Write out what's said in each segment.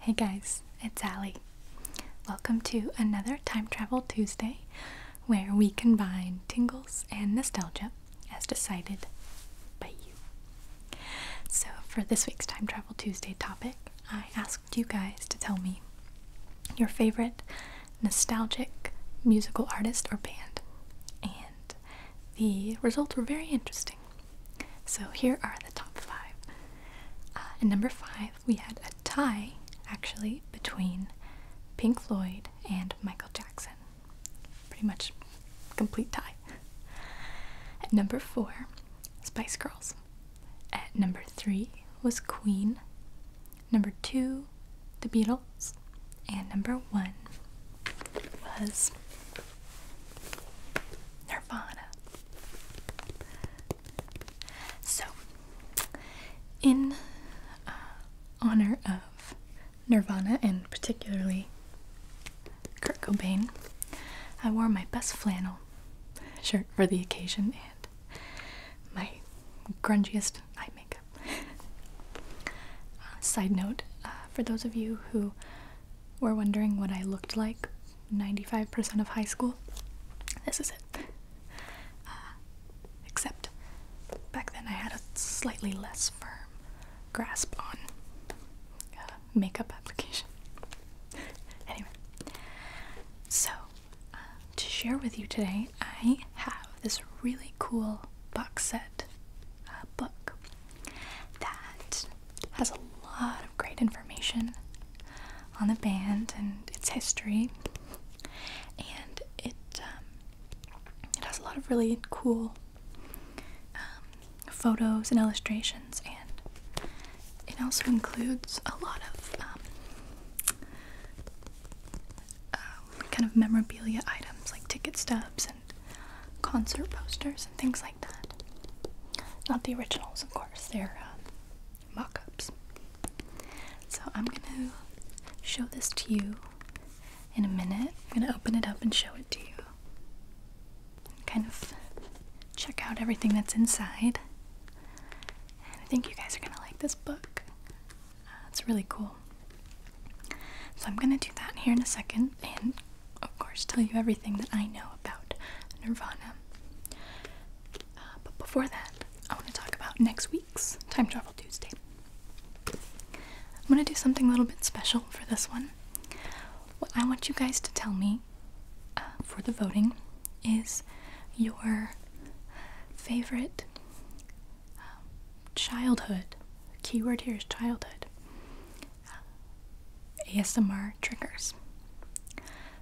Hey guys, it's Ali. Welcome to another Time Travel Tuesday where we combine tingles and nostalgia as decided by you. So, for this week's Time Travel Tuesday topic, I asked you guys to tell me your favorite nostalgic musical artist or band, and the results were very interesting. So here are the top five. and uh, number five, we had a tie actually between Pink Floyd and Michael Jackson. Pretty much complete tie. At number four, Spice Girls. At number three was Queen, number two, The Beatles, and number one was Nirvana. So, in uh, honor of Nirvana and particularly Kurt Cobain, I wore my best flannel shirt for the occasion my grungiest eye makeup. Uh, side note uh, for those of you who were wondering what I looked like 95% of high school, this is it. Uh, except back then I had a slightly less firm grasp on makeup application. anyway, so to share with you today, I have this really cool box set book that has a lot of great information on the band and its history, and it um, it has a lot of really cool um, photos and illustrations, and it also includes a lot of um, um, kind of memorabilia items like ticket stubs and concert posters and things like that. Not the originals, of course, they're uh, um, mock ups. So I'm gonna show this to you in a minute. I'm gonna open it up and show it to you. kind of check out everything that's inside. And I think you guys are gonna like this book. Uh, it's really cool. So I'm gonna do that here in a second and, of course, tell you everything that I know about Nirvana. Uh, but before that, I wanna talk about next week's Time Travel Tuesday. I'm gonna do something a little bit special for this one. What I want you guys to tell me uh, for the voting is your favorite um, childhood keyword here is childhood um, ASMR triggers.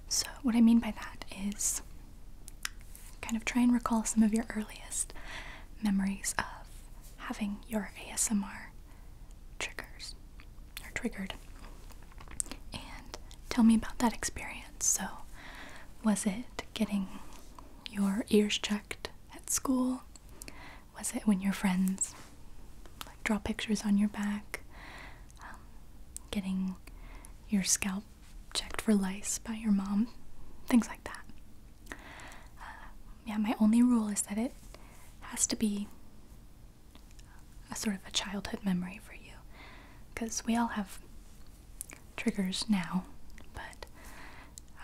So what I mean by that is kind of try and recall some of your earliest memories of having your ASMR triggers or triggered. And tell me about that experience. So was it getting your ears checked at school? Was it when your friends draw pictures on your back? Um, getting your scalp checked for lice by your mom? Things like that. Uh, yeah, my only rule is that it has to be a sort of a childhood memory for you because we all have triggers now, but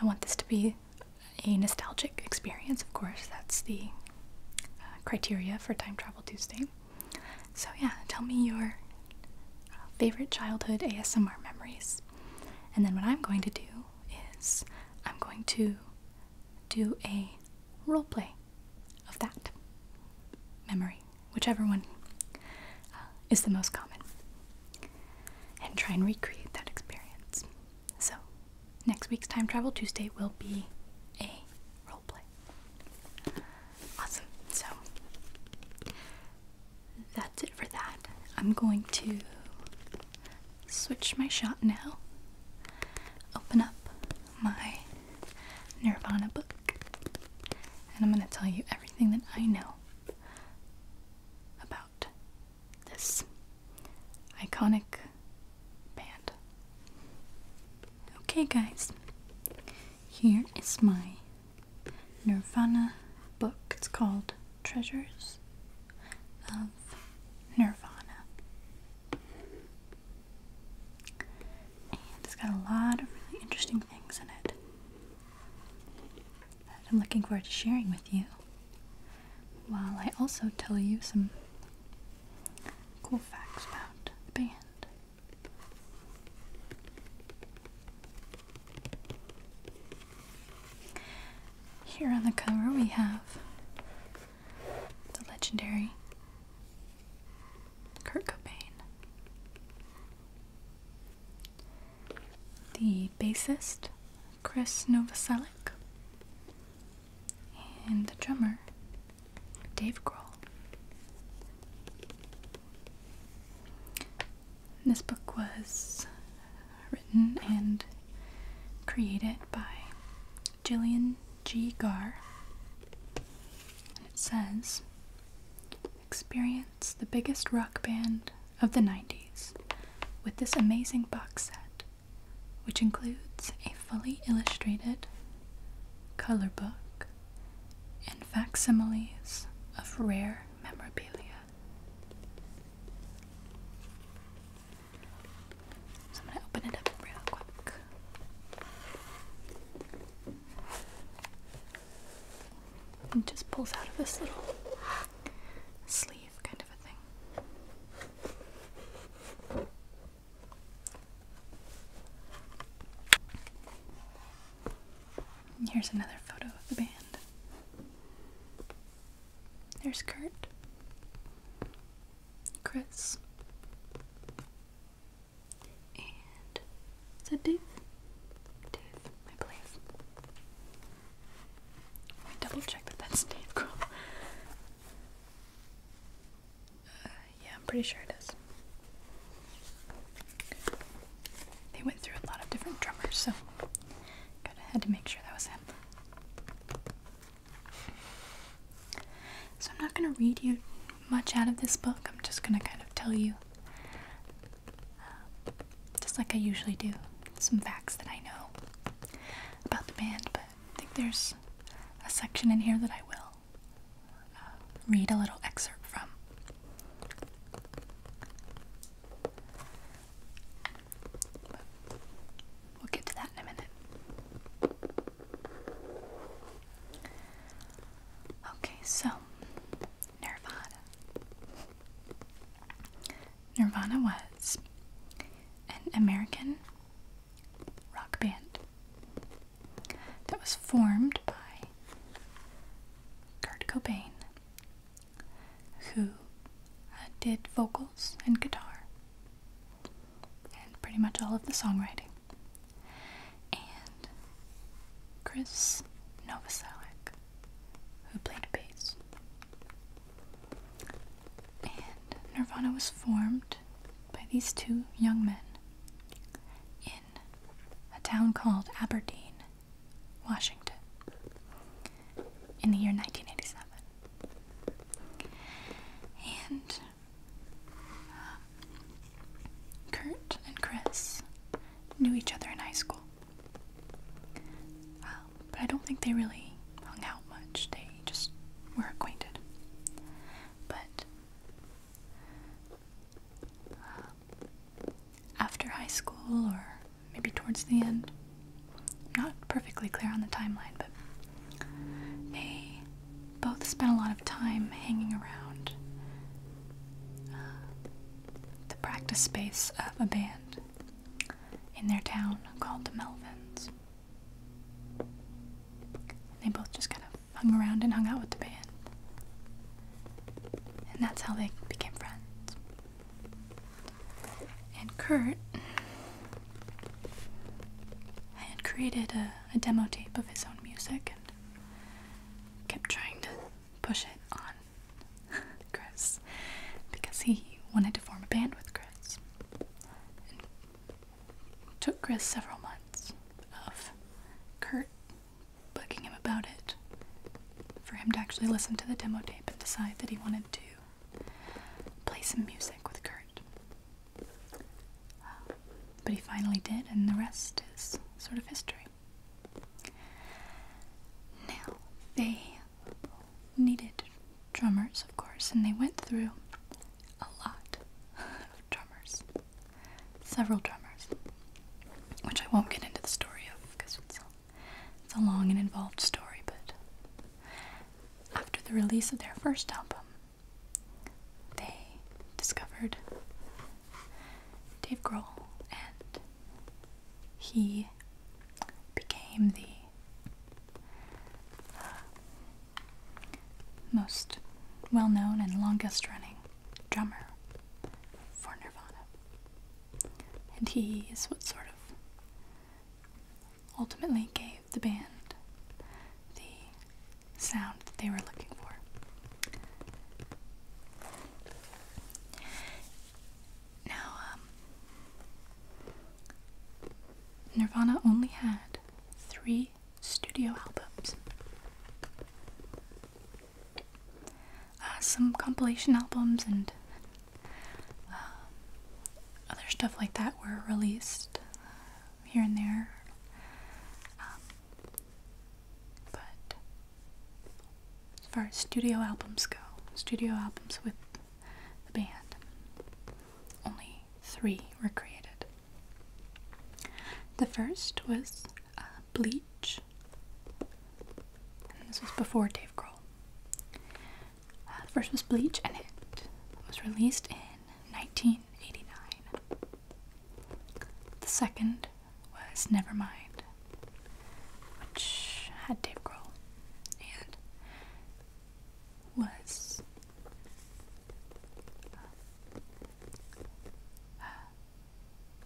I want this to be a nostalgic experience, of course. That's the uh, criteria for Time Travel Tuesday. So, yeah, tell me your favorite childhood ASMR memories. And then, what I'm going to do is I'm going to do a role play of that memory whichever one uh, is the most common, and try and recreate that experience. So, next week's Time Travel Tuesday will be a role play. Awesome. So, that's it for that. I'm going to switch my shot now, open up my Nirvana book and I'm going to tell you everything that I know about this iconic band. Okay, guys, here is my Nirvana book. It's called Treasures of Nirvana and it's got a lot of really interesting things in it that I'm looking forward to sharing with you while I also tell you some cool facts about the band. Here on the cover we have the legendary Kurt Cobain the bassist Chris Novoselic, and the drummer Dave Grohl. This book was written and created by Gillian G. Gar. And it says Experience the biggest rock band of the 90s with this amazing box set, which includes a fully illustrated color book and facsimiles of rare memorabilia. So I'm going to open it up real quick and just pulls out of this little sleeve kind of a thing. here's another photo of the band. There's Kurt, Chris, and is that Dave? Dave, my place. Let me double check that that's Dave uh, yeah, I'm pretty sure it is. They went through a lot of different drummers, so gotta had to make sure that was him. So I'm not gonna read you much out of this book. I'm just gonna kind of tell you um, just like I usually do, some facts that I know about the band, but I think there's a section in here that I will uh, read a little excerpt from. we'll get to that in a minute. Okay, so Nirvana. Nirvana was an American rock band that was formed by Kurt Cobain, who uh, did vocals and guitar and pretty much all of the songwriting. Chris Novoselic, who played bass. And Nirvana was formed by these two young men in a town called Aberdeen, Washington, in the year 1987. And um, Kurt and Chris knew each other in high school. Um, but I don't think they really hung out much. They just were acquainted. But um, after high school, or maybe towards the end, not perfectly clear on the timeline, but they both spent a lot of time hanging around uh, the practice space of a band in their town called the Melvins. They both just kind of hung around and hung out with the band. And that's how they became friends. And Kurt had created a, demo tape of his own music and kept trying to push it on Chris because he wanted to form a band with Chris. it took Chris several months of Kurt bugging him about it for him to actually listen to the demo tape and decide that he wanted to play some music with Kurt. but he finally did, and the rest is sort of history. Now, they needed drummers, of course, and they went through a lot of drummers. Several drummers. Which I won't get into the story of because it's a long and involved story, but after the release of their first album, they discovered Dave Grohl and he became the uh, most well known and longest running drummer for Nirvana. And he is what sort of ultimately gave the band the sound that they were looking for. Now, um, Nirvana only had three studio albums. Uh, some compilation albums and um, other stuff like that were released uh, here and there. Um, but as far as studio albums go, studio albums with the band, only three were created. The first was uh, Bleach, this was before Dave Grohl. Uh, the first was Bleach, and it was released in 1989. The second was Nevermind, which had Dave Grohl and was uh,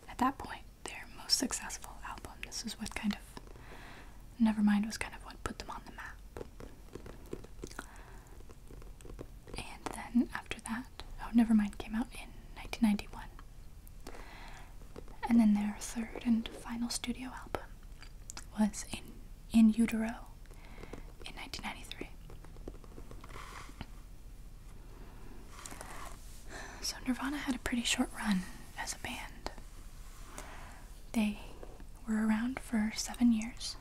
at that point their most successful album. This is what kind of Nevermind was kind of what put them on the map. And then after that, oh, Nevermind came out in 1991. And then their third and final studio album was in utero in 1993. So Nirvana had a pretty short run as a band. They were around for 7 years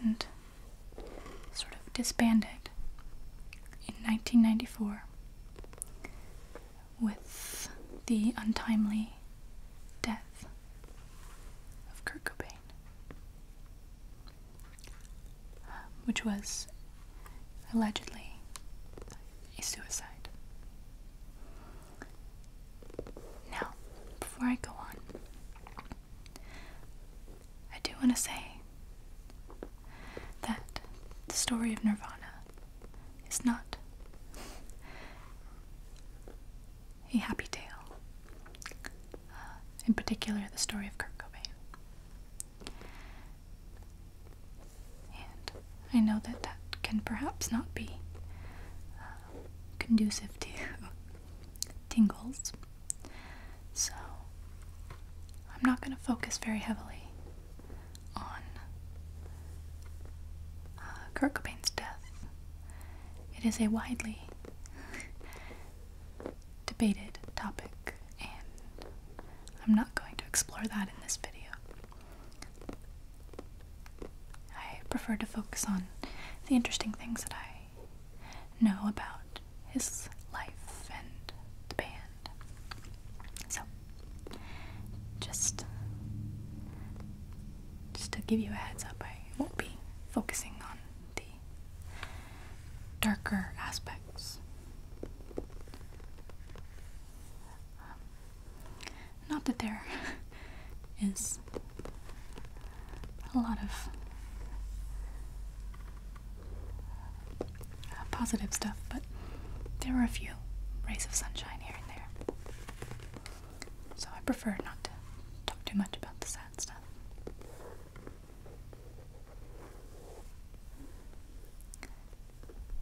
and sort of disbanded in 1994 with the untimely death of Kurt Cobain, which was allegedly a suicide. Now, before I go on, I do want to say that the story of Nirvana is not a happy tale. Uh, in particular, the story of Kurt Cobain. And I know that that can perhaps not be uh, conducive to tingles. So, I'm not going to focus very heavily on uh, Kurt Cobain's death. It is a widely debated topic, and I'm not going to explore that in this video. I prefer to focus on the interesting things that I know about his life and the band. So, just, just to give you a heads up, I won't be focusing on the darker aspects. Um, not that there is a lot of positive stuff, but there were a few rays of sunshine here and there. So I prefer not to talk too much about the sad stuff.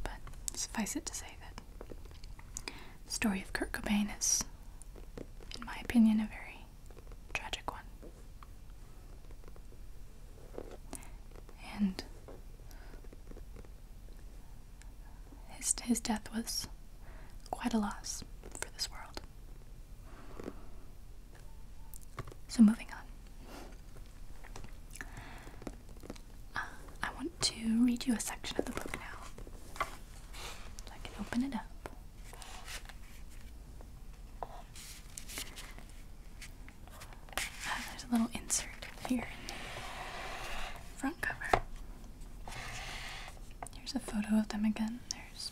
But suffice it to say that the story of Kurt Cobain is, in my opinion, a very tragic one and his, his death was quite a loss for this world. So, moving on, uh, I want to read you a section of the book now so I can open it up there's a little insert here in the front cover. Here's a photo of them again. There's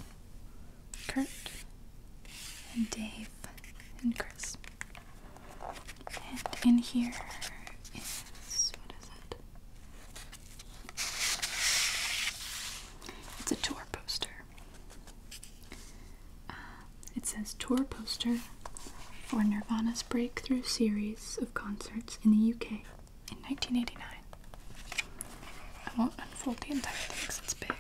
Kurt and Dave and Chris. And in here is what is it? It's a tour poster. Uh, it says tour poster for Nirvana's breakthrough series of concerts in the UK in 1989. I won't unfold the entire thing it's big,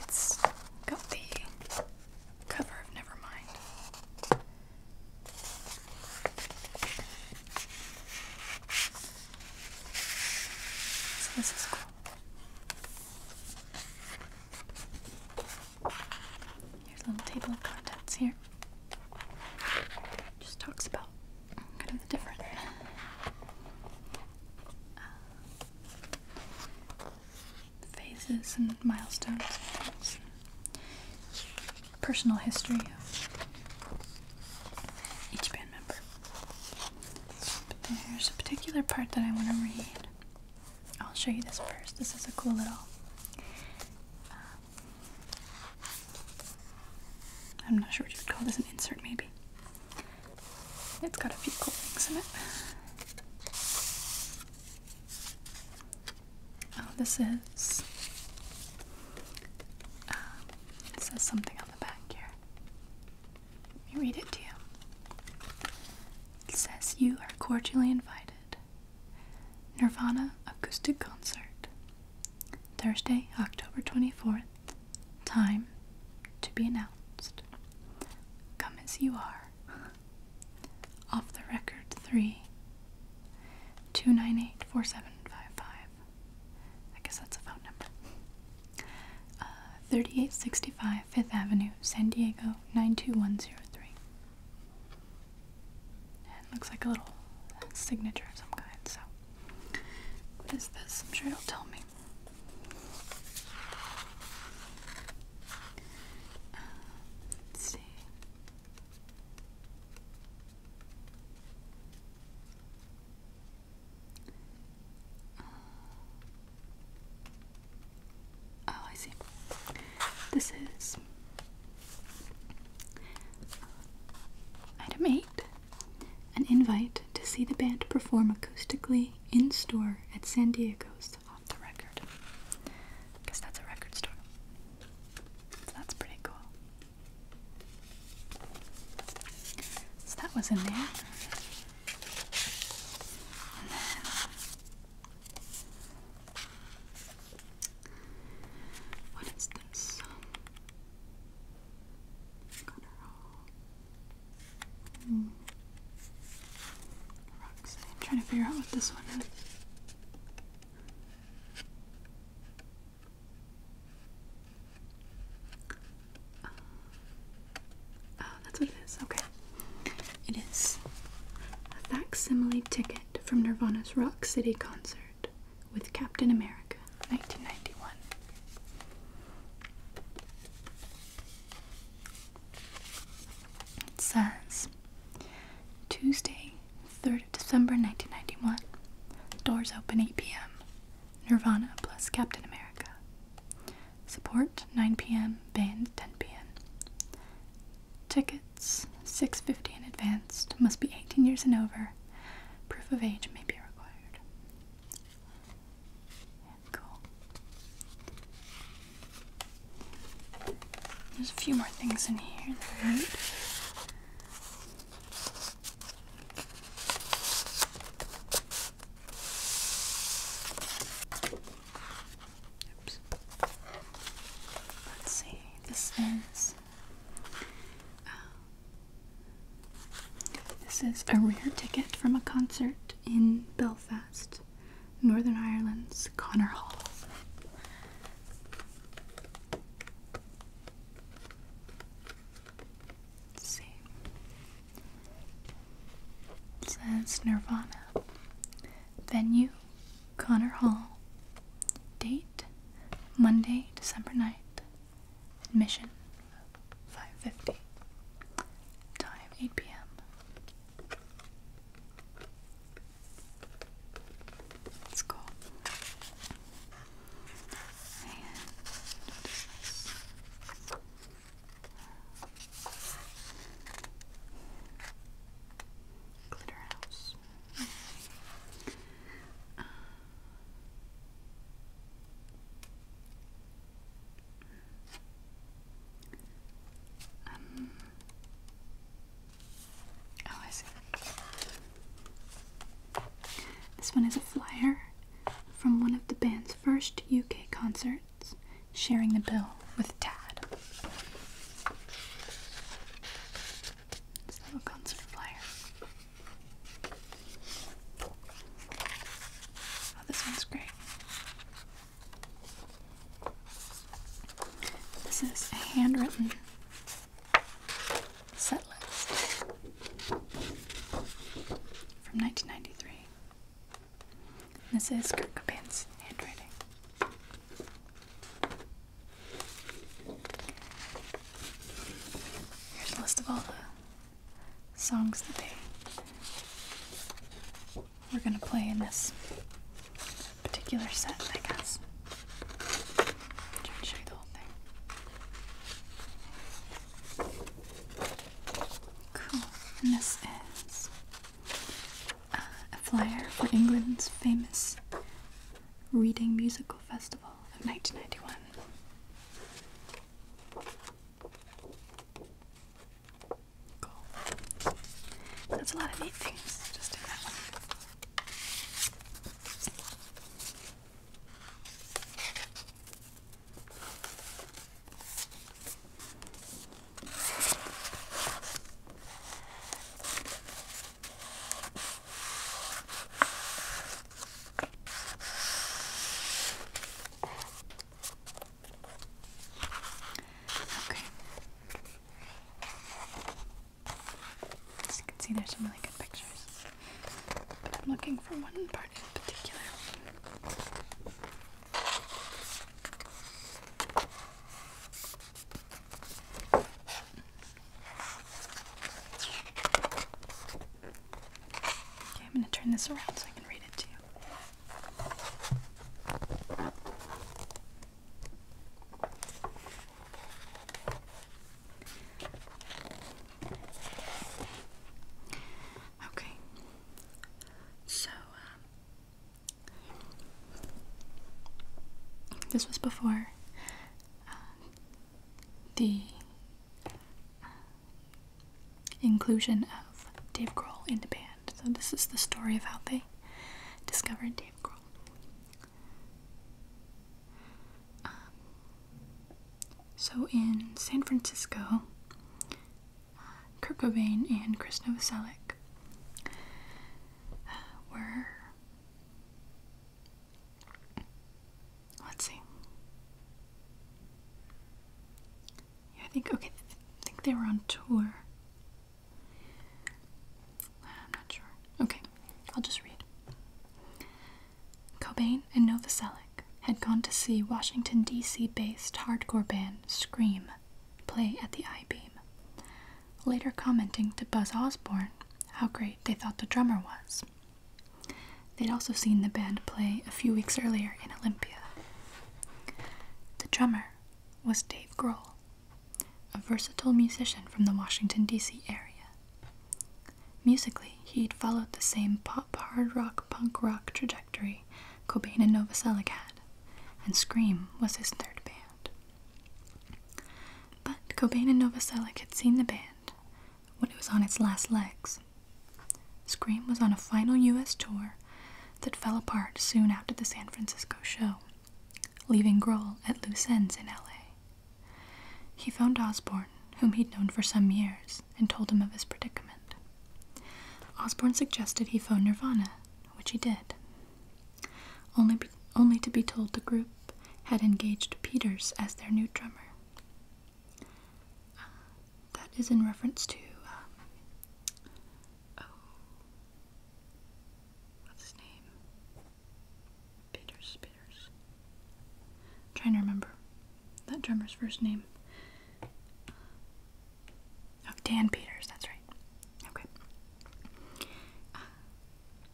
it's got the cover of Nevermind. this is cool. Here's a little table of contents here. Just talks about kind of the different. Uh, phases and milestones and things. Personal history of each band member there's a particular part that I want to read. I'll show you this first. This is a cool little. Um, I'm not sure what you would call this an insert, maybe. It's got a few cool things in it. Oh, this is. Um, it says something on the back here. Let me read it to you. It says, You are cordially invited. Nirvana Acoustic Concert. Thursday, October 24th. Time to be announced. Come as you are. Off the record 3 298 4755. I guess that's a phone number. Uh, 3865 Fifth Avenue, San Diego, 92103. it looks like a little signature of some kind, so. What is this? I'm sure it'll tell me. Uh, let's see. Oh, oh, I see. This is item 8 an invite to see the band perform acoustically in store at San Diego's Off the Record. Because that's a record store. that's pretty cool. So that was in there what is this? Got her hmm. I'm trying to figure out what this one is oh, that's what it is. Okay. It is a facsimile ticket from Nirvana's Rock City concert with Captain America, 1991. It says Tuesday, 3rd of December 1991. Doors open 8 p.m. Nirvana plus Captain America. Support 9 p.m. Band 10 p.m. Tickets 650 in advance. must be 18 years and over. Proof of age may be required. cool. There's a few more things in here Let's see. This is uh, this is a rare ticket from a concert in Belfast, Northern Ireland's Connor Hall. Let's see. It says Nirvana. Venue, Connor Hall. Date, Monday, December 9th. Admission, 5.50. Time, 8 p.m. It's cool. And Glitter House. Um, oh, I see. This one is a flyer from one of the band's first UK concert sharing the bill with Dad. This little concert flyer. Oh, this one's great. This is a handwritten set list from 1993. This is Kurt Cobain's handwriting. Here's a list of all the songs that they we're going to play in this particular set, I guess. i show you the whole thing. Cool. And this is a flyer for England's famous Reading Musical Festival of 1991. Cool. That's a lot of neat things just in Okay. As you can see, there's some really good pictures. But I'm looking for one part in particular. Okay, I'm going to turn this around so I can read it to you. Okay. So, um, this was before uh, the uh, inclusion of Dave Grohl in the band. So, this is the story of how they discovered Dave Grohl. Um, so, in San Francisco, Kurt Cobain and Chris Novoselic were. Let's see. I think okay. I think they were on tour. I'm not sure. Okay, I'll just read. Cobain and Novoselic had gone to see Washington D.C. based hardcore band Scream play at the I Beam, later commenting to Buzz Osborne how great they thought the drummer was. They'd also seen the band play a few weeks earlier in Olympia. The drummer was Dave Grohl, a versatile musician from the Washington, D.C. area. Musically, he'd followed the same pop, hard rock, punk rock trajectory Cobain and Novoselic had, and Scream was his third band. But Cobain and Novoselic had seen the band when it was on its last legs. Scream was on a final US tour that fell apart soon after the San Francisco show, leaving Grohl at loose ends in LA. He phoned Osborne, whom he'd known for some years, and told him of his predicament. Osborne suggested he phone Nirvana, which he did. Only, only to be told the group had engaged Peters as their new drummer. Uh, that is in reference to. Um, oh. What's his name? Peters, Peters. trying to remember that drummer's first name. Of Dan Peters, that's right. Okay. Uh,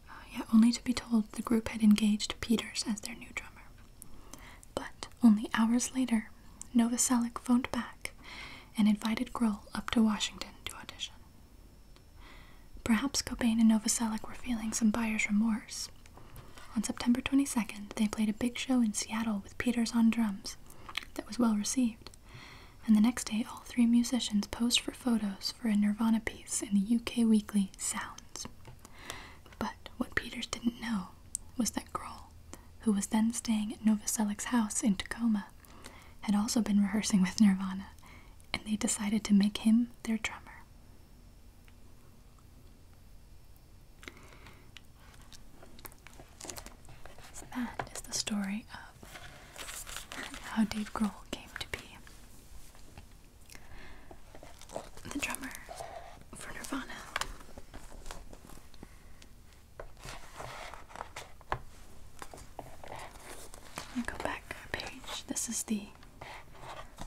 uh, yeah, only to be told the group had engaged Peters as their new drummer. But only hours later, Novoselic phoned back and invited Grohl up to Washington to audition. Perhaps Cobain and Novoselic were feeling some buyer's remorse. On September 22nd, they played a big show in Seattle with Peters on drums that was well received. And the next day, all three musicians posed for photos for a Nirvana piece in the UK weekly Sounds. But what Peters didn't know was that Grohl, who was then staying at Novoselic's house in Tacoma, had also been rehearsing with Nirvana, and they decided to make him their drummer. So that is the story of how Dave Grohl came to be the drummer for Nirvana. I'll go back a page. This is the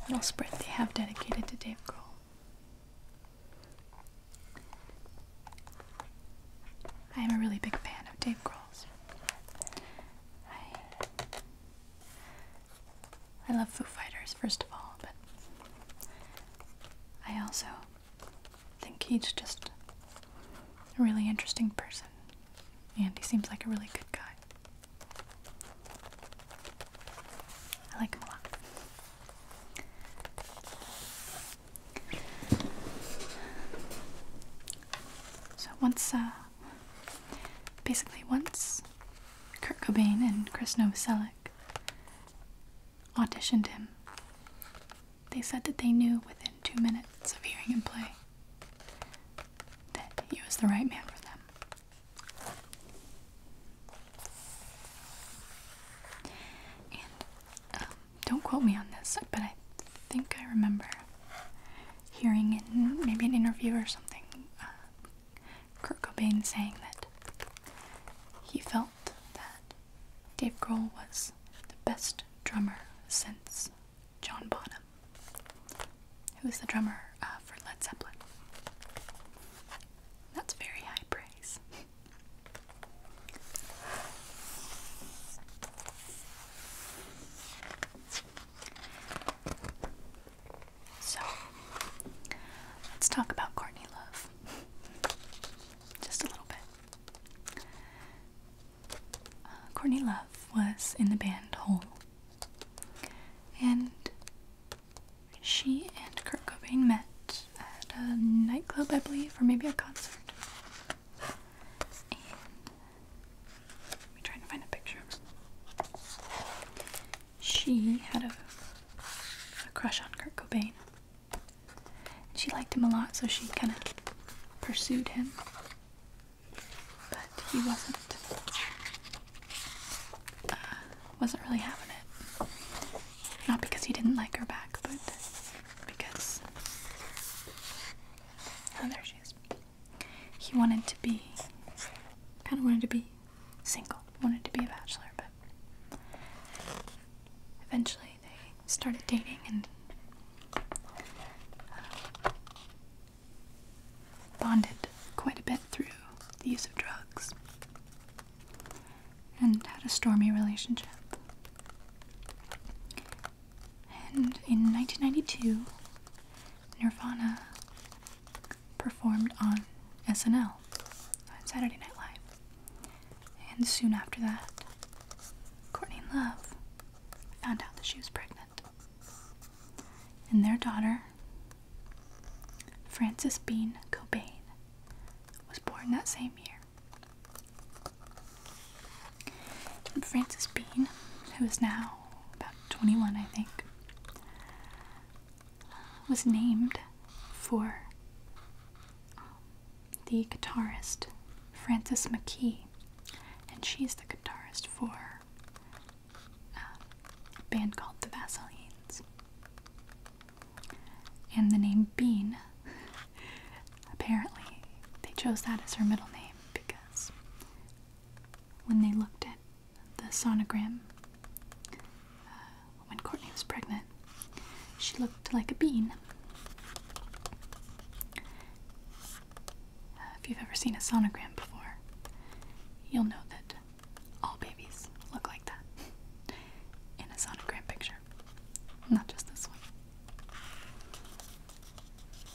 little spread they have dedicated to Dave Grohl. I am a really big fan of Dave Grohl's. I, I love Foo Fighters, first of all, but I also think he's just a really interesting person, and he seems like a really good guy. I like him a lot. So once, uh, basically once Kurt Cobain and Chris Novoselic auditioned him, they said that they knew within two minutes of hearing him play that he was the right man for them. Um, don't quote me on this, but I think I remember hearing in maybe an interview or something uh, Kurt Cobain saying that he felt that Dave Grohl was the best drummer since John Bonham, who was the drummer uh, for Led Zeppelin. That's very high praise. So let's talk about Courtney Love just a little bit. Uh, Courtney Love was in the band Hole, and she and Kurt Cobain met at a nightclub, I believe, or maybe a concert. And let me try find a picture. She had a, crush on Kurt Cobain. She liked him a lot, so she kind of pursued him. But he wasn't uh, wasn't really having it. Not because he didn't like her back, but because oh there she is. He wanted to be kind of wanted to be single, wanted to be a bachelor, but eventually they started dating and uh, bonded quite a bit through the use of drugs and had a stormy relationship. And in 1992, Nirvana performed on SNL, on Saturday Night Live. And soon after that, Courtney Love found out that she was pregnant. And their daughter, Frances Bean Cobain, was born that same year. Francis Bean, who is now about 21, I think, was named for um, the guitarist Francis McKee, and she's the guitarist for um, a band called the Vaseline's. And the name Bean Apparently, they chose that as her middle name because when they looked at the sonogram, uh, when Courtney was pregnant, she looked like a bean. Uh, if you've ever seen a sonogram before, you'll know that all babies look like that in a sonogram picture not just this one.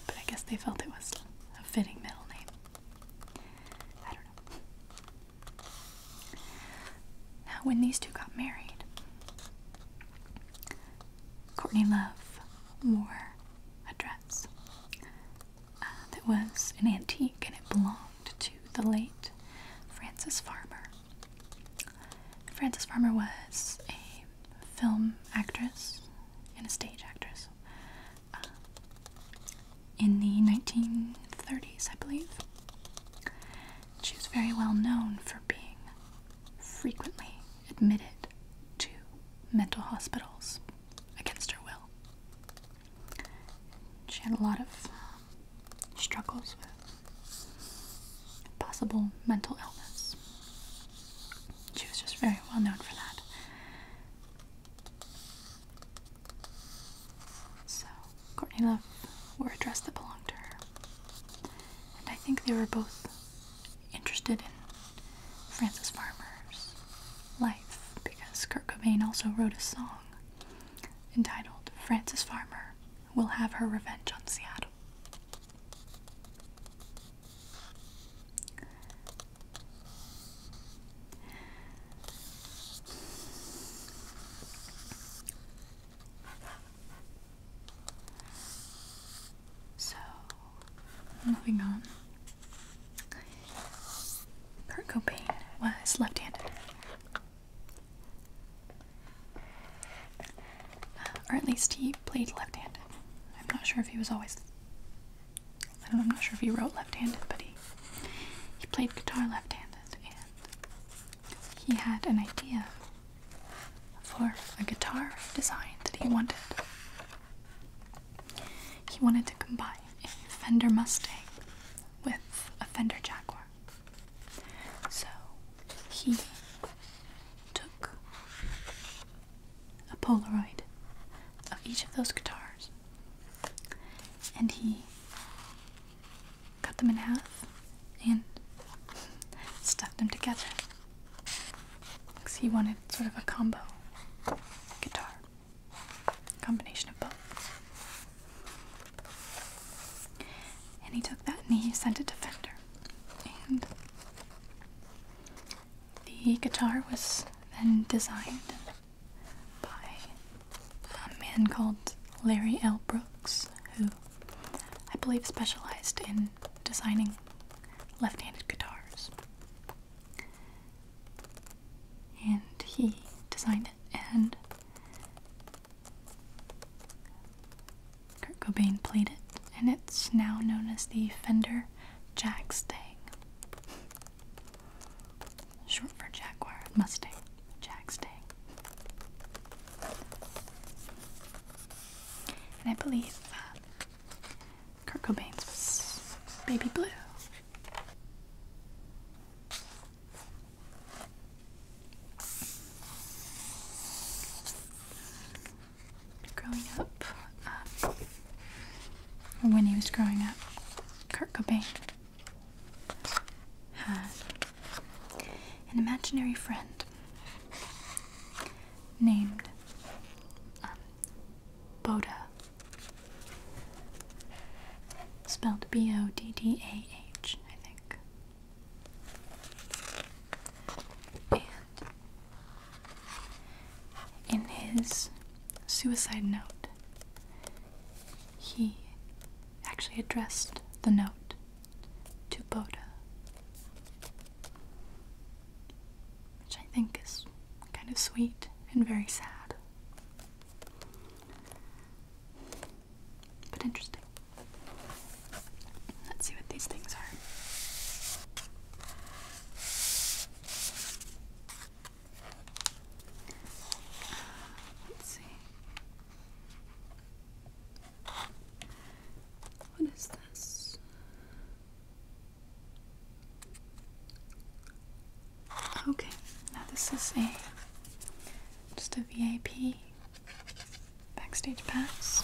But I guess they felt it was a fitting middle name. I don't know. Now, when these two got married, Courtney Love wore a dress uh, that was an antique and it belonged to the late Francis Farmer, Frances Farmer was a film actress and a stage actress uh, in the 1930s, I believe. She was very well known for being frequently admitted to mental hospitals against her will. She had a lot of struggles with possible mental illness. She was just very well known for that. So, Courtney Love wore a dress that belonged to her. And I think they were both interested in Frances Farmer's life because Kurt Cobain also wrote a song entitled Frances Farmer will have her revenge on Seattle. So, moving on. Kurt Cobain was left handed. Or at least he played left handed. I'm not sure if he was always. I don't know, I'm not sure if he wrote left handed, but he, he played guitar left handed and he had an idea for a guitar design that he wanted. He wanted to combine a Fender Mustang with a Fender Jaguar. So he took a Polaroid of each of those guitars and he cut them in half and stuck them together because he wanted sort of a combo guitar, combination of both. And he took that and he sent it to Fender. And the guitar was then designed by a man called Larry L. Brooks, who I believe specialized in designing left handed guitars. And he designed it, and Kurt Cobain played it, and it's now known as the Fender Jag Short for Jaguar, Mustang, Jag And I believe uh, Kurt Cobain's was Baby Blue growing up, uh, when he was growing up, Kurt Cobain had an imaginary friend named um, Boda, spelled B O D D A H, I think. And in his suicide note, he actually addressed the note to Boda, which I think is kind of sweet and very sad, but interesting. Let's see what these things are. Let's see. What is this? Okay, now this is a just a VIP backstage pass.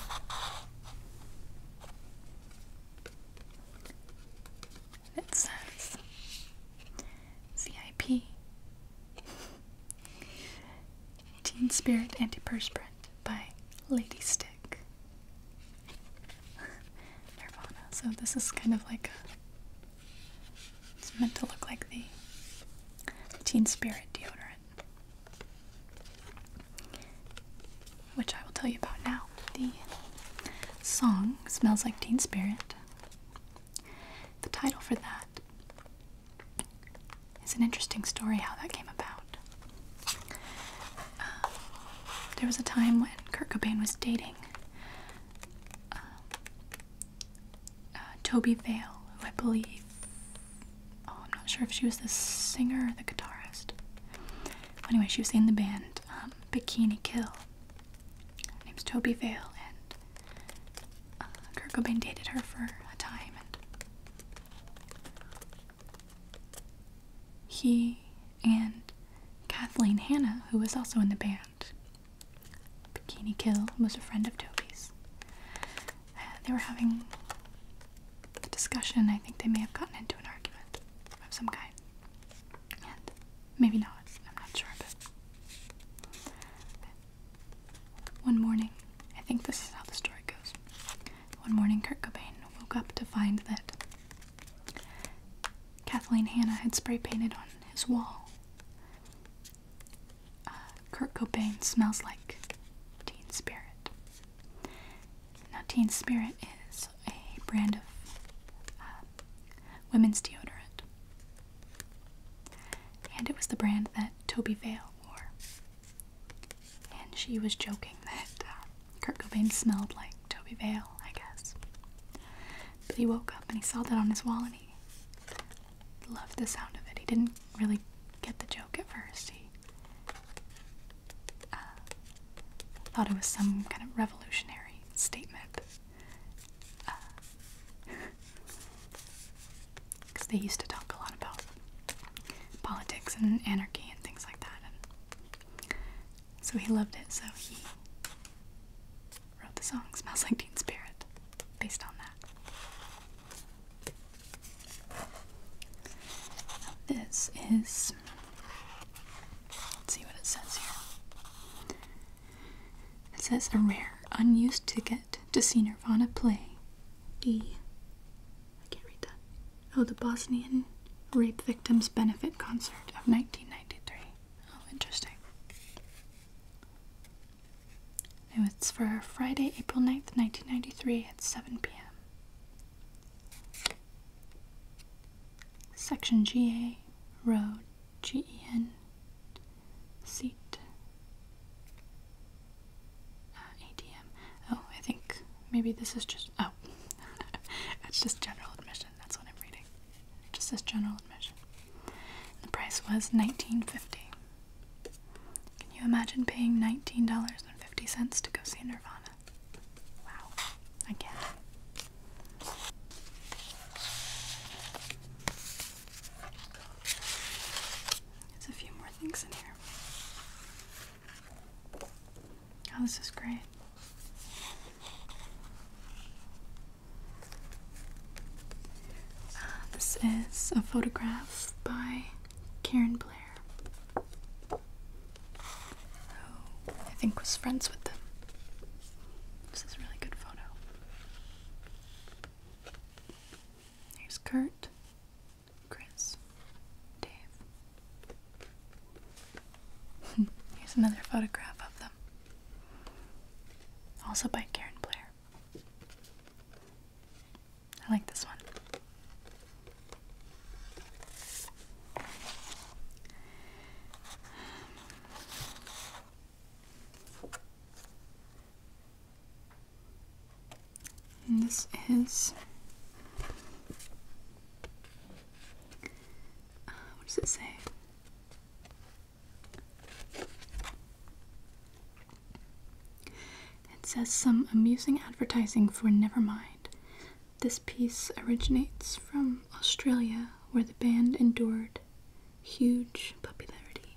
It says CIP Teen Spirit Antiperspirant by Lady Stick. Nirvana. So this is kind of like a, it's meant to look like the Teen Spirit deodorant which I will tell you about now. The song Smells Like Teen Spirit. The title for that is an interesting story how that came about. Uh, there was a time when Kurt Cobain was dating uh, uh, Toby Vale, I believe oh, I'm not sure if she was the singer or the guitarist. anyway, she was in the band um, Bikini Kill. Her name's Toby Vale, and uh, Kurt Cobain dated her for a time, and he and Kathleen Hanna, who was also in the band, Bikini Kill was a friend of Toby's. Uh, they were having discussion, I think they may have gotten into an argument of some kind. And maybe not, I'm not sure, but one morning, I think this is how the story goes. One morning, Kurt Cobain woke up to find that Kathleen Hanna had spray painted on his wall. Uh, Kurt Cobain smells like teen spirit. Now, Teen Spirit is a brand of uh, women's deodorant, and it was the brand that Toby Vale wore. And she was joking that uh, Kurt Cobain smelled like Toby Vale, I guess. But he woke up and he saw that on his wall, and he loved the sound of it. He didn't really get the joke at first. Uh, thought it was some kind of revolutionary statement. Because uh, they used to talk a lot about politics and anarchy and things like that. so he loved it, so he wrote the song Smells Like Teen Spirit based on that. This is. Let's see what it says here. It says a rare, unused ticket to see Nirvana play. The. can't read that. Oh, the Bosnian Rape Victims Benefit Concert of 1993. Oh, interesting. It was for Friday, April 9th, 1993 at 7 p.m. Section GA, road, G E N. seat, uh, ATM. Oh, I think maybe this is just, oh, it's just general admission. That's what I'm reading. just says general admission. The price was $19.50. Can you imagine paying $19.50 to go see Nirvana? Wow, I can't. a few more things in here. Oh, this is great. Uh, this is a photograph by Karen Blair. I think was friends with them. This is a really good photo. Here's Kurt, Chris, Dave. Here's another photograph of them, also by Karen Blair. I like this one. And this is uh, what does it say? It says some amusing advertising for Nevermind, this piece originates from Australia, where the band endured huge popularity.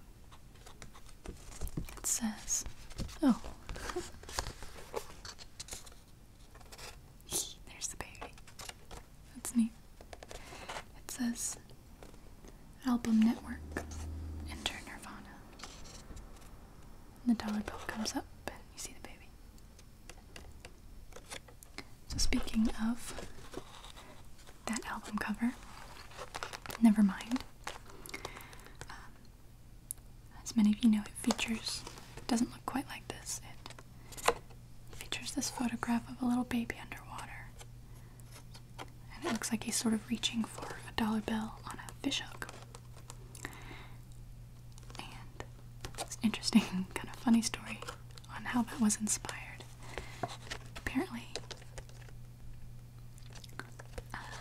It says, oh, there's the baby. That's neat. It says, Album Network, Enter Nirvana. And the dollar bill comes up, and you see the baby. So, speaking of that album cover, never mind. Um, as many of you know, it features, it doesn't look quite like this. It features this photograph of a little baby underwater. And it looks like he's sort of reaching for a dollar bill on a fishhook. And it's an interesting, kind of funny story on how that was inspired. Apparently, uh,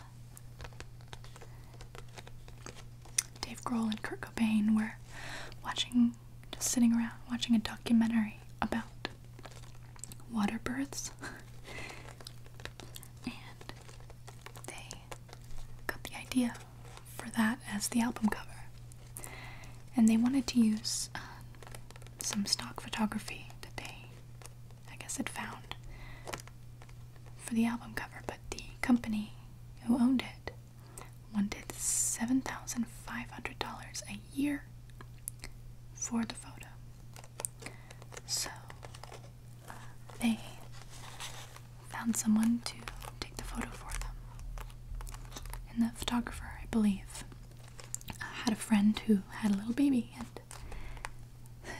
Dave Grohl and Kurt Cobain were watching, just sitting around watching a documentary about water births. and they got the idea for that as the album cover. And they wanted to use uh, some stock photography that they, I guess, had found for the album cover, but the company who owned it wanted $7,500 a year for the photo. So they found someone to take the photo for them. And the photographer, I believe, had a friend who had a little baby, and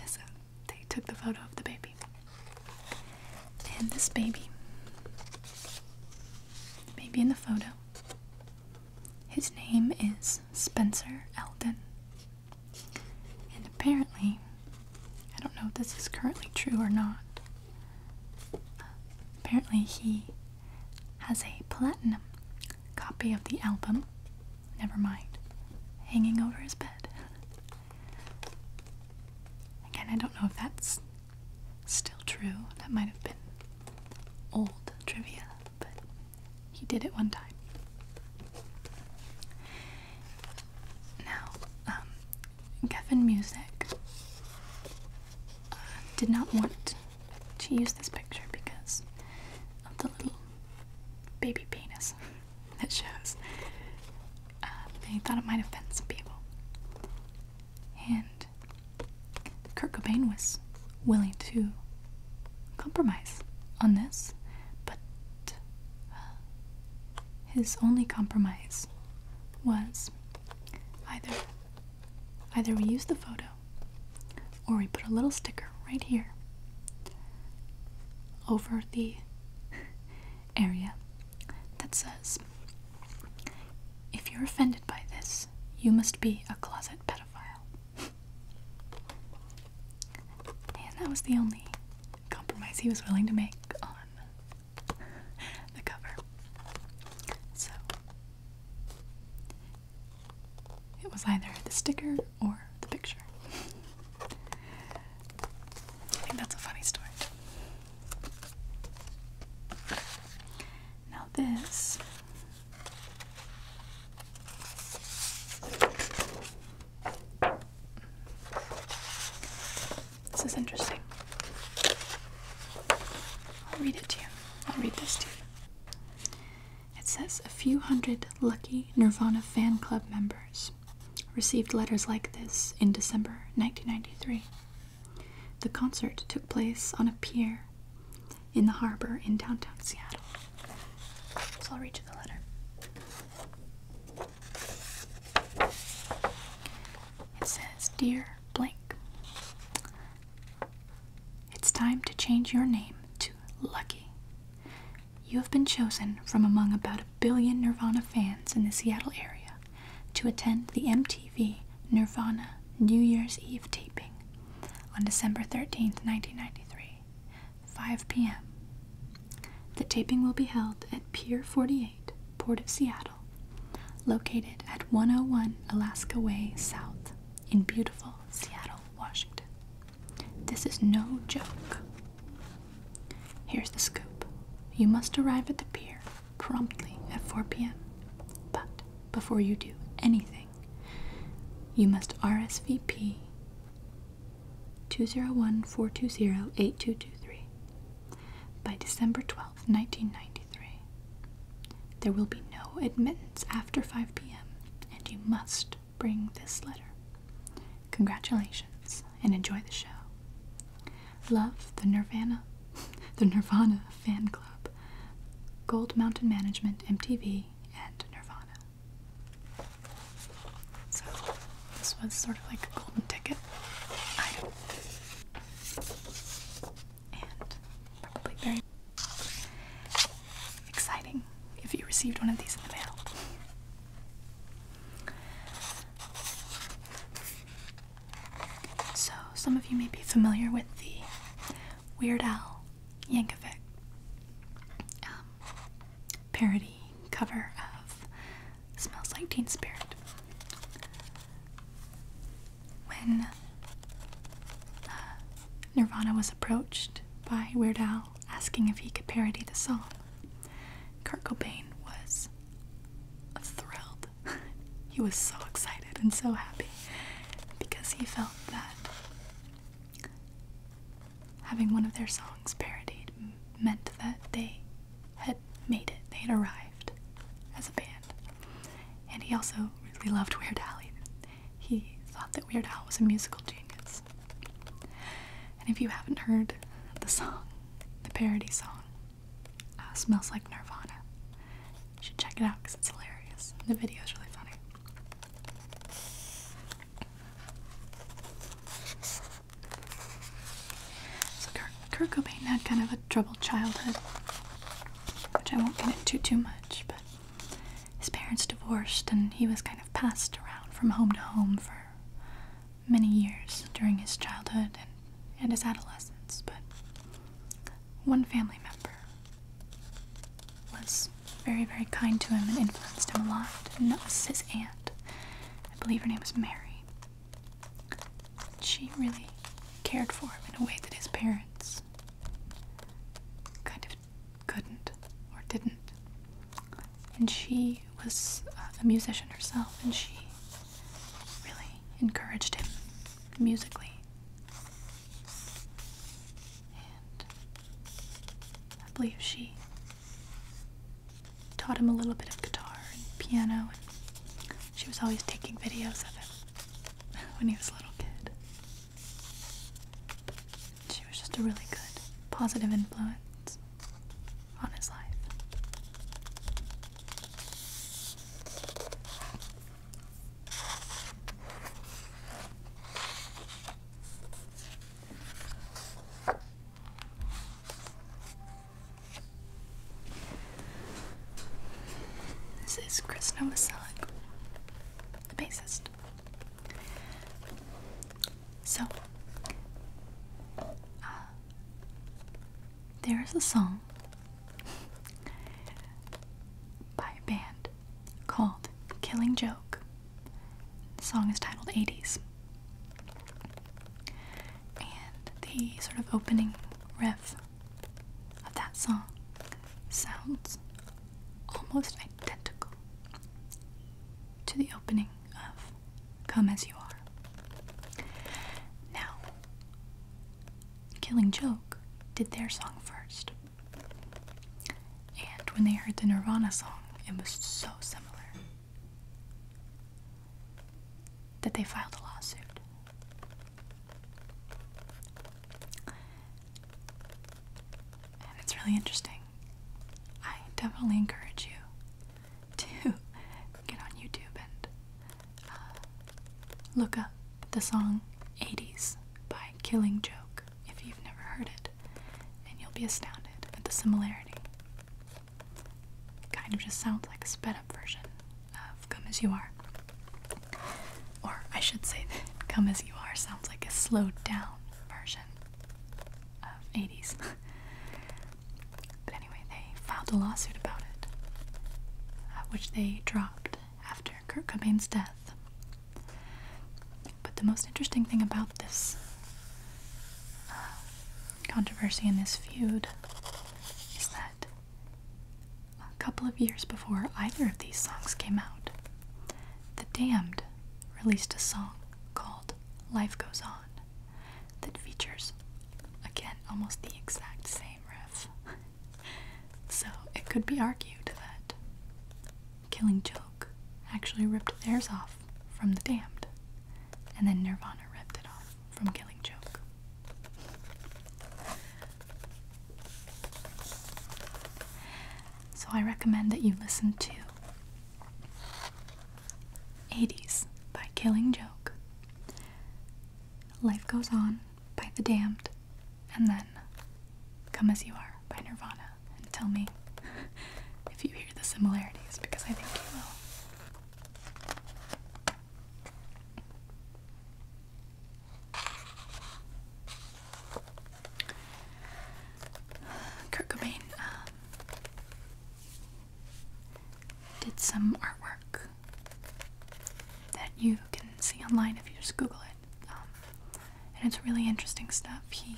so they took the photo of the baby. And this baby, the baby in the photo, his name is Spencer Eldon. And apparently, I don't know if this is currently true or not. Apparently, he has a platinum copy of the album, never mind, hanging over his bed. Again, I don't know if that's still true. That might have been old trivia, but he did it one time. Now, um, Kevin Music uh, did not want to use this picture because of the little baby penis that shows. Uh, they thought it might offend some people. And Kurt Cobain was willing to compromise on this, but uh, his only compromise was either either we use the photo or we put a little sticker right here over the area that says if you're offended by this, you must be a closet pedophile. And that was the only compromise he was willing to make on the cover. So it was either the sticker or the picture. I think that's a funny story. Now, this this is interesting. I'll read it to you. I'll read this to you. It says a few hundred lucky Nirvana fan club members received letters like this in December 1993. The concert took place on a pier in the harbor in downtown Seattle. So I'll read you the letter. It says, Dear Blank, it's time to change your name to Lucky. You have been chosen from among about a billion Nirvana fans in the Seattle area to attend the MTV Nirvana New Year's Eve taping on December 13th, 1993, 5 p.m. The taping will be held at Pier 48 Port of Seattle, located at 101 Alaska Way South in beautiful Seattle, Washington. This is no joke. Here's the scoop. You must arrive at the pier promptly at 4 p.m. But before you do anything, you must RSVP 201 by December twelfth, 1993, there will be no admittance after 5 p.m., and you must bring this letter. Congratulations and enjoy the show. Love the Nirvana, the Nirvana Fan Club, Gold Mountain Management, MTV, and Nirvana. So this was sort of like a golden ticket and probably very exciting if you received one of these in the mail. So, some of you may be familiar with the Weird Al Yankovic um, parody cover of Smells like Teen Spirit. When uh, Nirvana was approached by Weird Al asking if he could parody the song, Kurt Cobain was thrilled. he was so excited and so happy because he felt that having one of their songs parodied meant that they had made it. They had arrived as a band. And he also really loved Weird Al. He thought that Weird Al was a musical genius. And if you haven't heard the song, the parody song, uh, Smells Like Nirvana, you should check it out because it's hilarious. The video is really funny. So Kurt Cobain had kind of a troubled childhood, which I won't get into too much, but his parents divorced and he was kind of passed around from home to home for many years during his childhood and, and his adolescence. But one family member was very, very kind to him and influenced him a lot, and that was his aunt. I believe her name was Mary. She really cared for him in a way that his parents kind of couldn't or didn't. And she was a musician herself, and she really encouraged him musically. And I believe she taught him a little bit of guitar and piano and she was always taking videos of him when he was a little kid. She was just a really good, positive influence on his life. This is Chris Novoselic, the bassist. So, uh, there is a song by a band called Killing Joke. The song is titled 80s. And the sort of opening riff of that song sounds almost identical to the opening of Come As You Are. Now, Killing Joke did their song first. And when they heard the Nirvana song, it was so similar that they filed a lawsuit and it's really interesting. I definitely encourage you to get on YouTube and uh, look up the song 80s by Killing Joke if you've never heard it, and you'll be astounded at the similarity. It kind of just sounds like a sped up version of come as you are. Or I should say come as you are sounds like a slowed down version of 80s. but anyway, they filed a lawsuit about it, uh, which they dropped after Kurt Cobain's death. But the most interesting thing about this uh, controversy and this feud is that a couple of years before either of these songs came out, The Damned released a song called Life Goes On that features, again, almost the exact same riff. so it could be argued that Killing Joke actually ripped theirs off from The Damned, and then Nirvana ripped it off from Killing Joke. So I recommend that you listen to 80s by Killing Joke, Life Goes On by The Damned, and then Come As You Are by Nirvana. And tell me if you hear the similarities because I think you will. Kurt um, did some artwork that you can see online if you just Google it, um, and it's really interesting stuff. He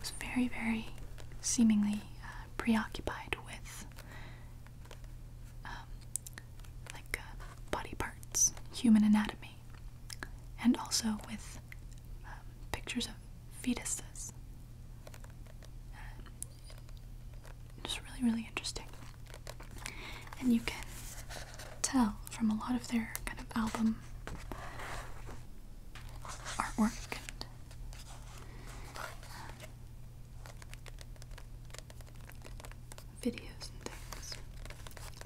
was very, very seemingly uh, preoccupied with um, like uh, body parts, human anatomy, and also with um, pictures of fetuses. Um, just really, really interesting. And you can tell from a lot of their kind of album artwork um, videos and things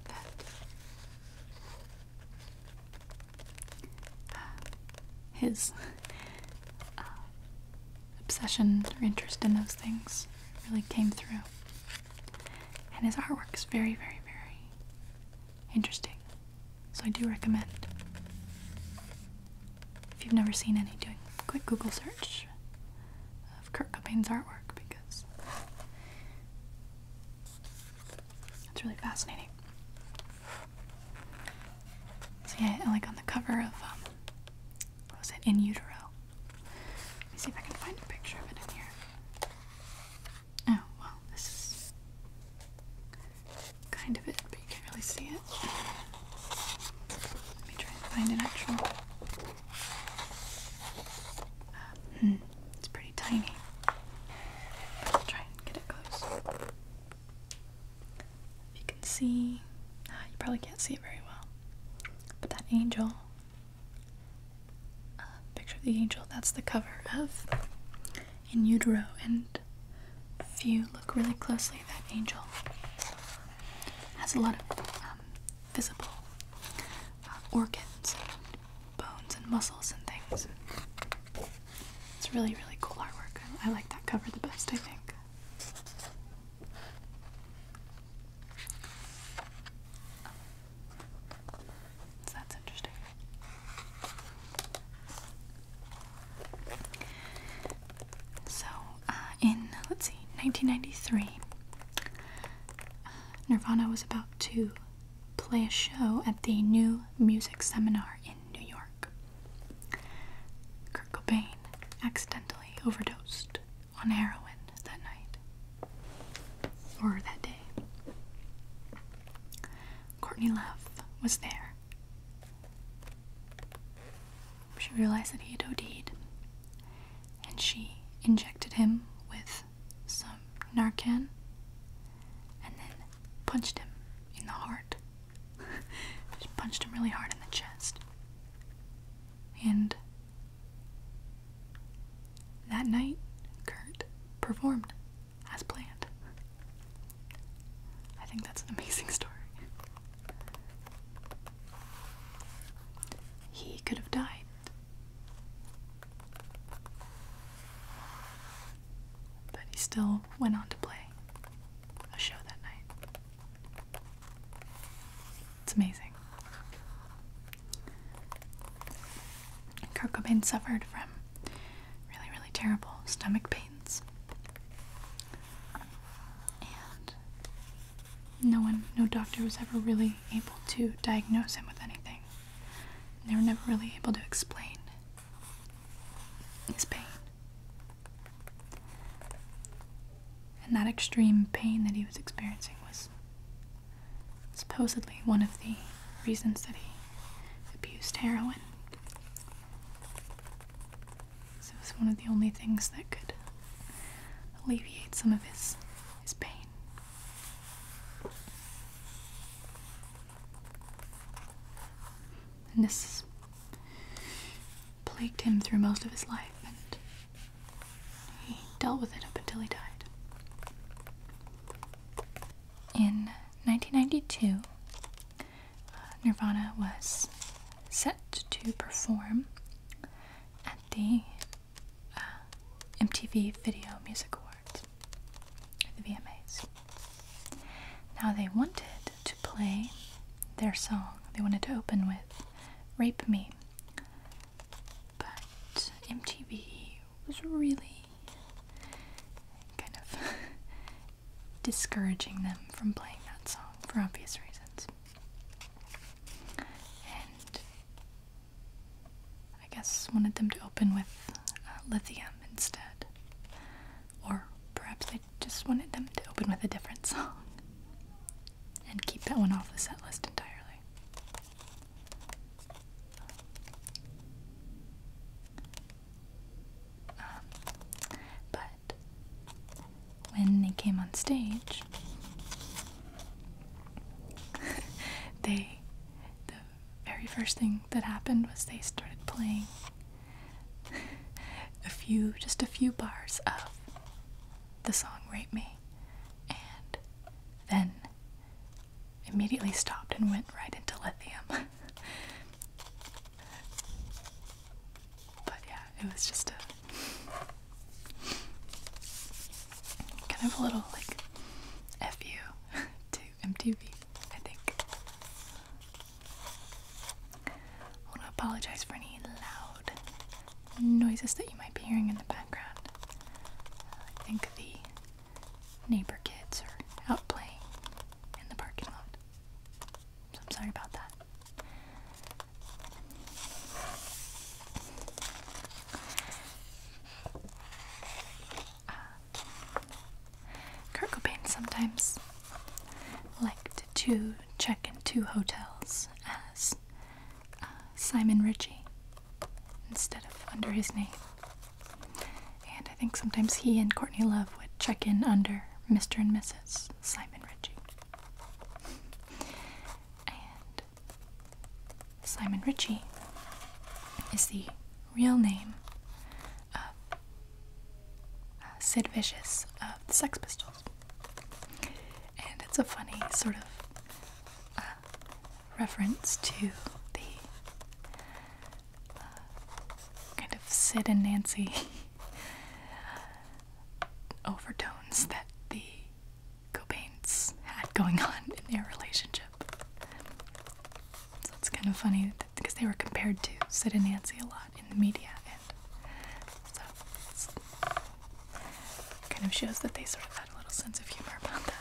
that uh, his uh, obsession or interest in those things really came through. And his artwork is very, very, very interesting. So I do recommend. If you've never seen any, doing a quick Google search of Kurt Cobain's artwork because it's really fascinating. So yeah, like on the cover of um, what was it? In Utero. Let me see if I can find a picture of it in here. Oh well, this is kind of it, but you can't really see it. Let me try and find an actual Hmm, it's pretty tiny. try and get it close. If you can see, ah, you probably can't see it very well. But that angel, uh, picture of the angel, that's the cover of In Utero. And if you look really closely, that angel has a lot of um, visible uh, organs, and bones, and muscles, and things. It's really, really cool artwork. I, like that cover the best, I think. that's interesting. So, uh, in let's see, 1993, uh, Nirvana was about to play a show at the New Music Seminar in New York. Kurt Cobain accidentally overdosed on heroin that night or that day. Courtney Love was there. She realized that he had OD'd, and she injected him with some Narcan and then punched him in the heart. Just punched him really hard in the chest. And that night, Kurt performed as planned. I think that's an amazing story. He could have died. But he still went on to play a show that night. It's amazing. Kurt Cobain suffered from really, really terrible stomach pains. And no one, no doctor was ever really able to diagnose him with anything. They were never really able to explain his pain. And that extreme pain that he was experiencing was supposedly one of the reasons that he abused heroin. So it was one of the only things that could alleviate some of his his pain. And this plagued him through most of his life, and he dealt with it up until he died. In 1992, uh, Nirvana was set to perform at the uh, MTV Video Music Awards, the VMAs. Now they wanted to play their song, they wanted to open with Rape Me, but MTV was really kind of discouraging them from playing that song for obvious reasons. I guess wanted them to open with uh, lithium instead. Or perhaps I just wanted them to open with a different song and keep that one off the set list entirely. Um, but when they came on stage, they the very first thing that happened was they started playing a few just a few bars of the song Rape Me and then immediately stopped and went right into lithium. but yeah, it was just a Kind of a little like fu you to MTV, I think. I want to apologize for any loud noises that you might be hearing in the background. I think the neighbor kids are out playing in the parking lot. So I'm sorry about that. Uh, sometimes liked to check into hotels as uh, Simon Ritchie instead of under his name. And I think sometimes he and Courtney Love would check in under Mr. and Mrs. Simon Ritchie. And Simon Ritchie is the real name of uh, Sid Vicious of the Sex Pistols. And it's a funny sort of uh, reference to the uh, kind of Sid and Nancy overtones that the Cobain's had going on in their relationship. So it's kind of funny because they were compared to Sid and Nancy a lot in the media, and so it's, it kind of shows that they sort of had a little sense of humor about that.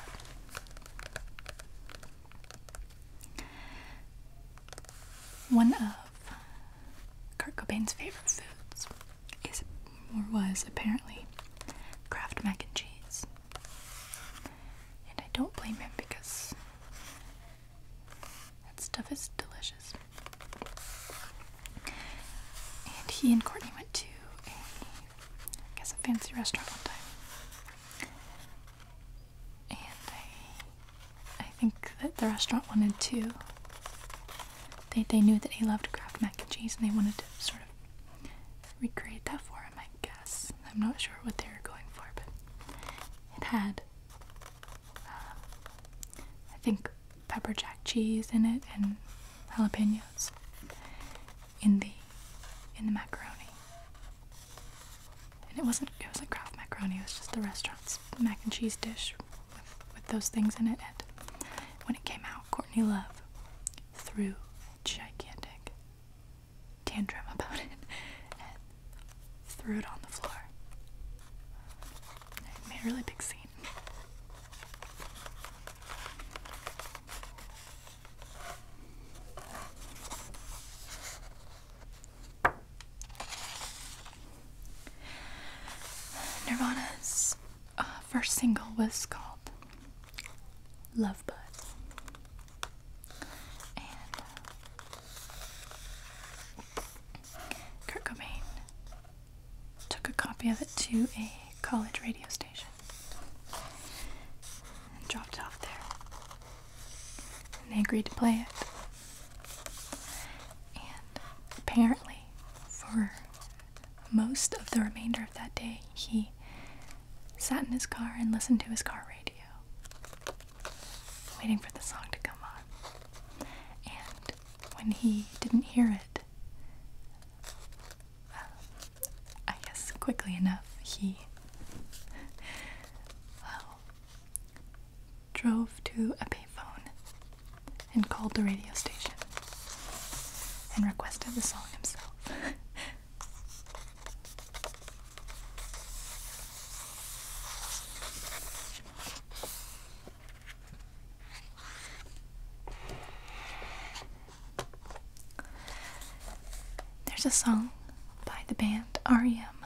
One of Kurt Cobain's favorite foods is or was apparently Kraft mac and cheese. And I don't blame him because that stuff is delicious. And he and Courtney went to a, I guess, a fancy restaurant one time. And I, I think that the restaurant wanted to they, they knew that he loved Kraft mac and cheese and they wanted to sort of recreate that for him, I guess. I'm not sure what they were going for, but it had, uh, I think, pepper jack cheese in it and jalapenos in the in the macaroni. And it wasn't it wasn't Kraft macaroni, it was just the restaurant's mac and cheese dish with, those things in it. And when it came out, Courtney Love threw a gigantic tantrum about it and threw it on the floor. made a really big scene. Nirvana's uh, first single was called Love Buzz," And uh, Kurt Cobain took a copy of it to a college radio station and dropped it off there. And they agreed to play it. And apparently, for most of the remainder of that day, he sat in his car and listened to his car radio, waiting for the song to come on. And when he didn't hear it, uh, I guess quickly enough, he uh, drove to a payphone and called the radio station and requested the song himself. There's a song by the band REM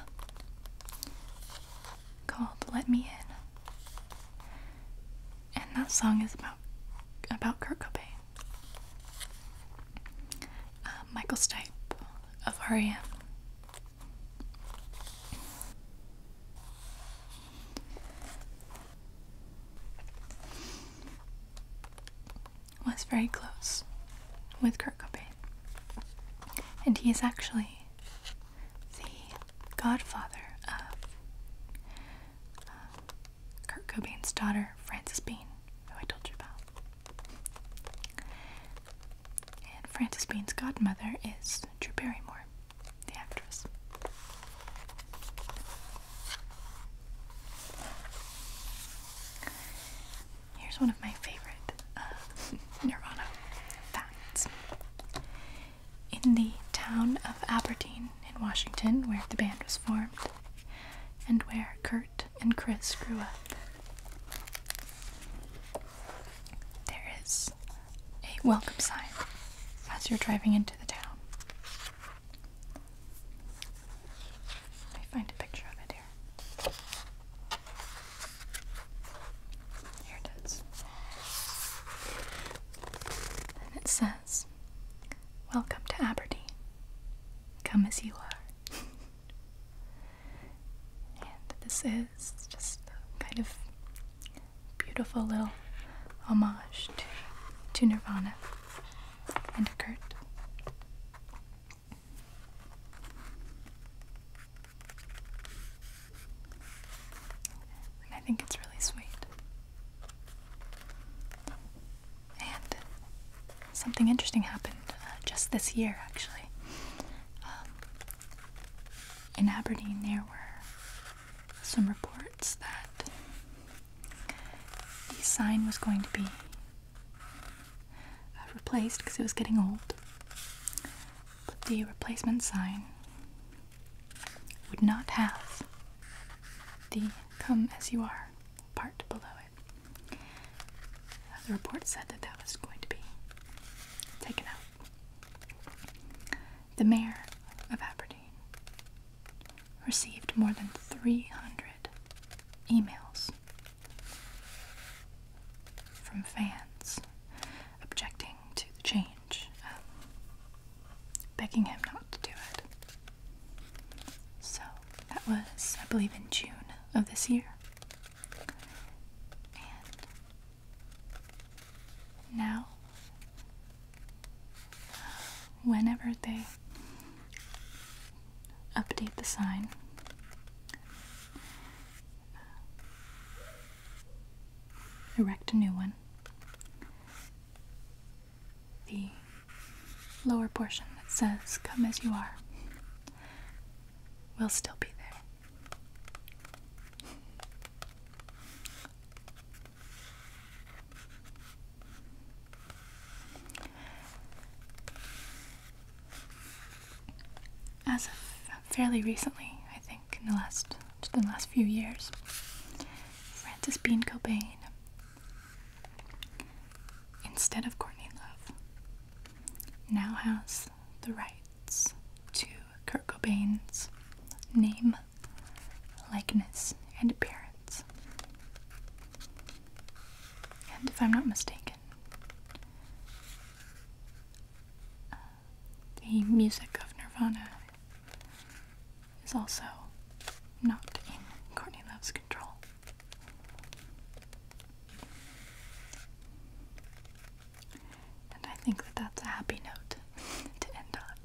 called Let Me In and that song is about about Kurt Cobain. Uh, Michael Stipe of REM. Was very close with Kurt Cobain, and he is actually the godfather of uh, Kurt Cobain's daughter, Frances Bean, who I told you about. And Frances Bean's godmother is Drew Barrymore, the actress. Here's one of my favorite uh, Nirvana facts in the town of Aberdeen in Washington, where the band was formed and where Kurt and Chris grew up. There is a welcome sign as you're driving into the town. Let me find a picture of it here. Here it is. And it says Welcome to Aberdeen. Come as you are. and this is just a kind of beautiful little homage to, to Nirvana and Kurt. I think it's really sweet. And something interesting happened uh, just this year, actually. Um, in Aberdeen, there were some reports that the sign was going to be uh, replaced because it was getting old. But the replacement sign would not have the Come as you are, part below it. The report said that that was going to be taken out. The mayor of Aberdeen received more than 300 emails from fans objecting to the change. Um, begging him not to do it. So that was, I believe, in June of this year. And now, whenever they update the sign, erect a new one the lower portion that says, Come as you are, will still be there. As fairly recently, I think in the last, in the last few years, Francis Bean Cobain instead of Courtney Love, now has the rights to Kurt Cobain's name, likeness, and appearance. And if I'm not mistaken, uh, the music of Nirvana is also not in Courtney Love's control. And I think that that's a happy note to end on.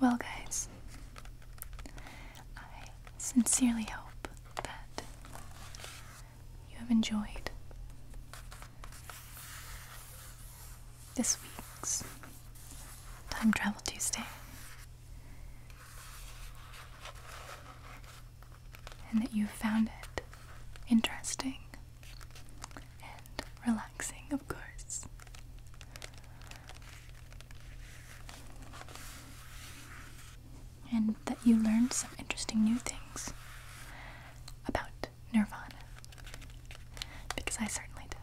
Well, guys, I sincerely hope that you have enjoyed this week's Time Travel Tuesday, and that you found it interesting and relaxing, of course. And that you learned some interesting new things about Nirvana. Because I certainly did.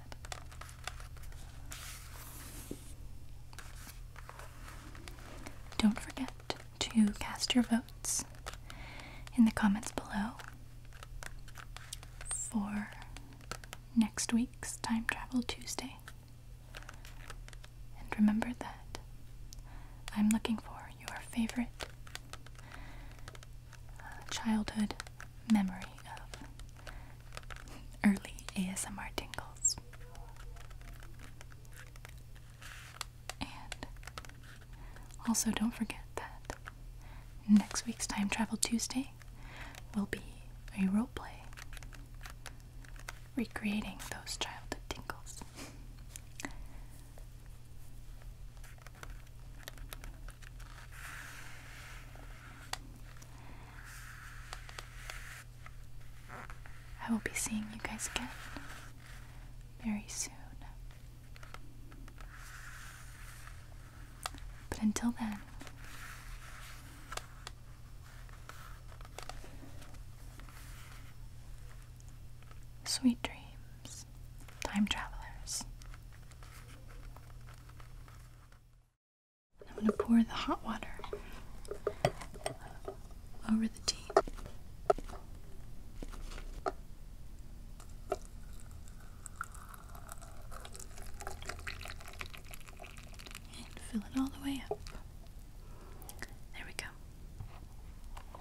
Don't forget to cast your votes in the comments below for next week's Time Travel Tuesday. And remember that I'm looking for your favorite uh, childhood memory of early ASMR tingles. And also, don't forget that next week's Time Travel Tuesday will be a role play recreating those childhood tingles. I will be seeing you guys again very soon. But until then, Sweet dreams, time travelers. I'm going to pour the hot water over the tea. And fill it all the way up. There we go.